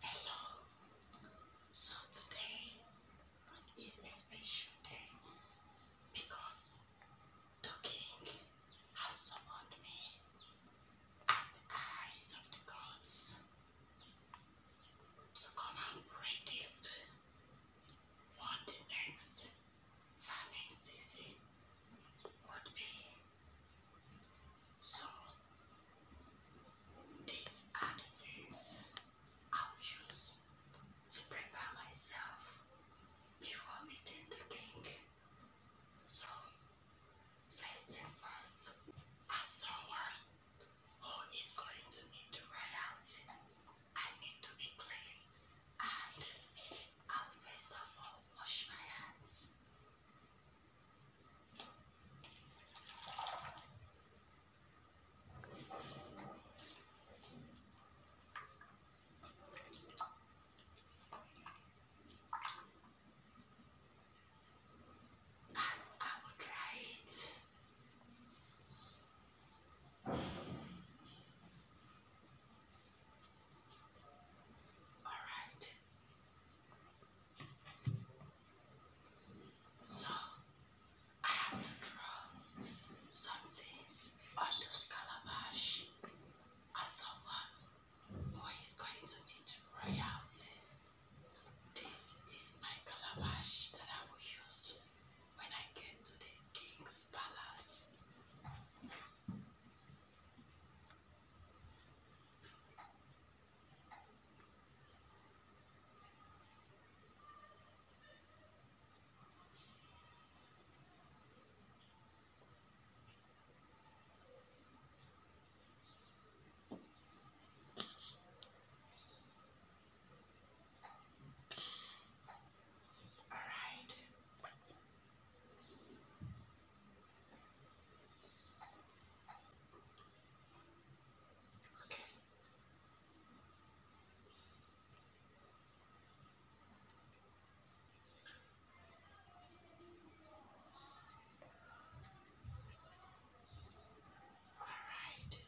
Hello. So today is a special day because the king has summoned me as the eyes of the gods to come and predict what the next farming season would be. So, these are I will use to prepare myself before meeting the king. So, first thing first, as someone who is going to meet the royalty, I need to be clean and I'll first of all wash my hands. I will try it. Alright. So I have to draw some things on this calabash as someone who is going to meet royalty. This is my calabash that I will use when I get to the king's palace. All right. Okay. All right.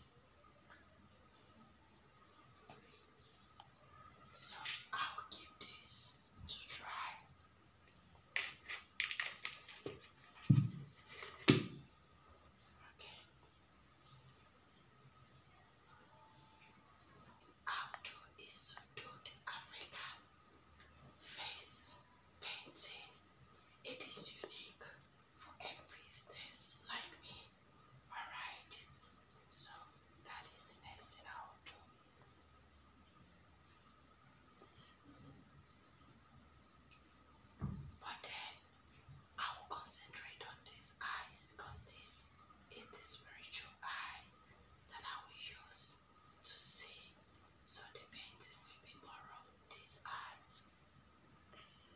So I'll give this to try. Okay. I'll do face painting. It is unique for a like me. Alright, so that is the next thing I will do. But then I will concentrate on these eyes because this is the spiritual eye that I will use to see. So the painting will be more of this eye.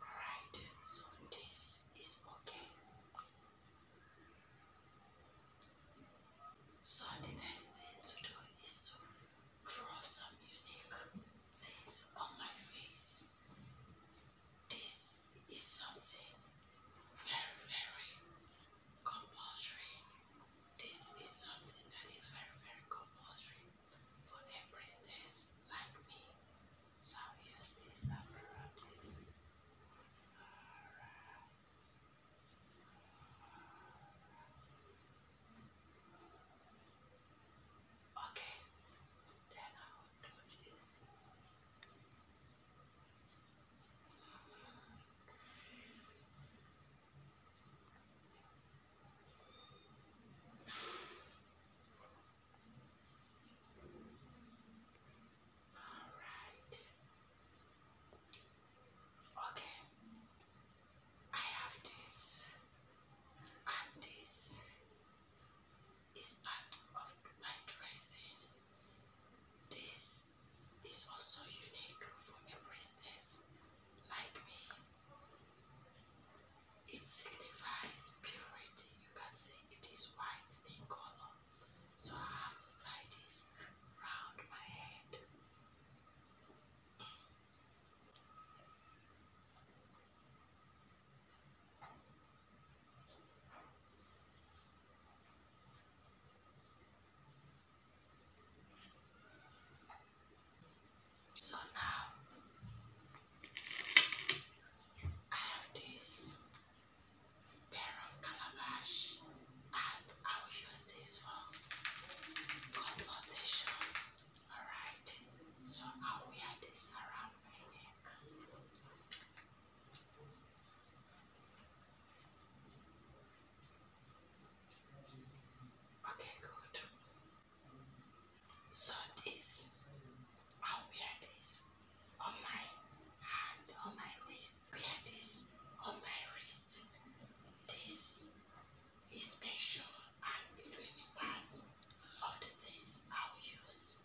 Alright, so this is okay. So the next thing to do is to draw some unique things on my face. This is something very, very compulsory this is something that is very, very compulsory for every stage like me. So I'll use this and this. Okay, all right. Okay. I have this and this is part of my dressing. This it's also unique for a priestess like me. It signifies purity. You can see it is white in color, so I have to tie this round my head. So now I have this pair of calabash and I will use this for consultation. Alright, so i wear this around my neck. Okay, good. So this, i we wear this on my hand, on my wrist. Wear this on my wrist. This is special and between the parts of the things I will use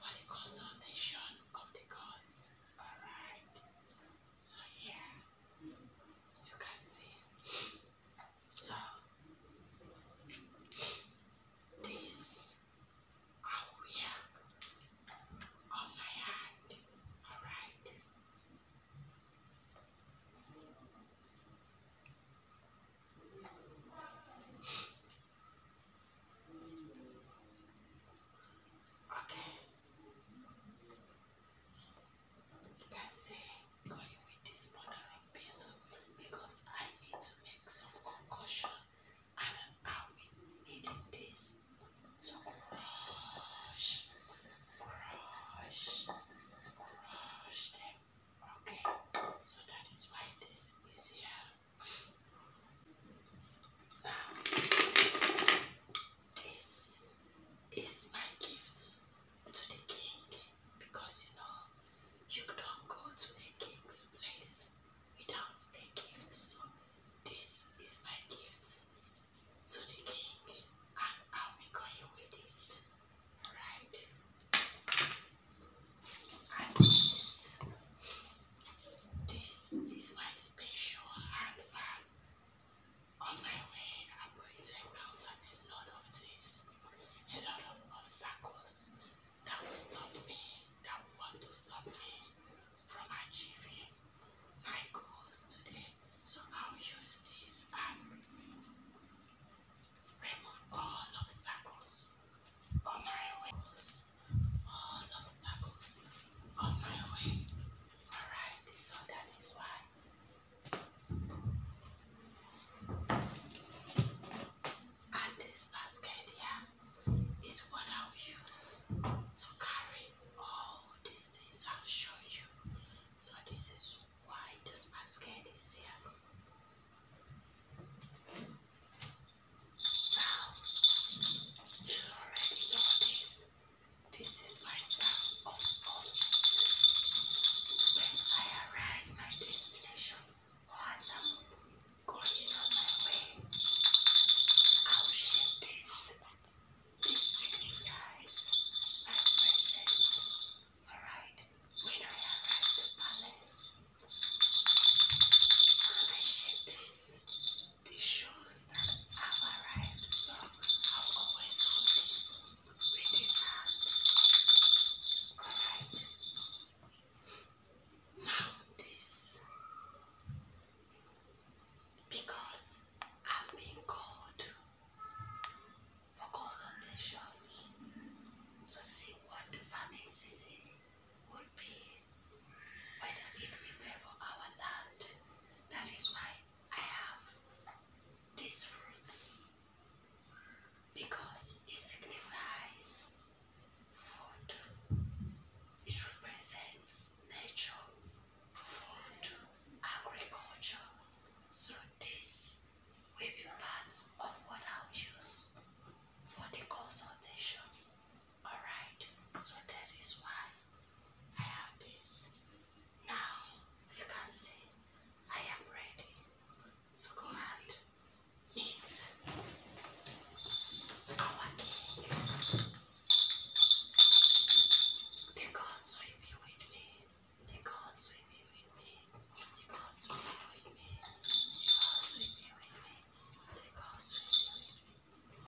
for the consultation of the gods. Alright. So yeah, you can see. So this I oh, wear on my hand. Alright. Okay. You can say, Can with this bothering basil? Because I need to make some concussion and I'll be needing this to crush, crush, crush them. Okay, so that is why this is here. This is my gift to the king because you know you don't go to a king's place without a gift. So this is my gift to the king and I'll be going with it. Alright. And this this is my special handbag on my way, I'm going to encounter a lot of things, a lot of obstacles that will stop me, that want to stop me from achieving my goals today. So I'll use this and remove all obstacles on my way. All obstacles on my way. Alright, so that is why. And this basket here is what i use to carry all these things I've shown you. So this is why this basket is here. Now, you already know this. This is my staff of office. When I arrive my destination, or I'm um, going on my way, I will share this. This signifies my presence. Alright? When I arrive the palace, and I share this. This shows that I've arrived, so I'll always hold this with this hand. Alright. Now this. Because I've been called for consultation to see what the pharmacist would be whether it will favor our land. That is why I have these fruits because it signifies food, it represents nature, food, agriculture. So, these will be parts of what I'll use for the consultation Alright, so that is why I have this. Now you can see I am ready to go ahead. eat our cake. The gods will be with me. The gods will be with me. The gods will be with me. The gods with me. with me.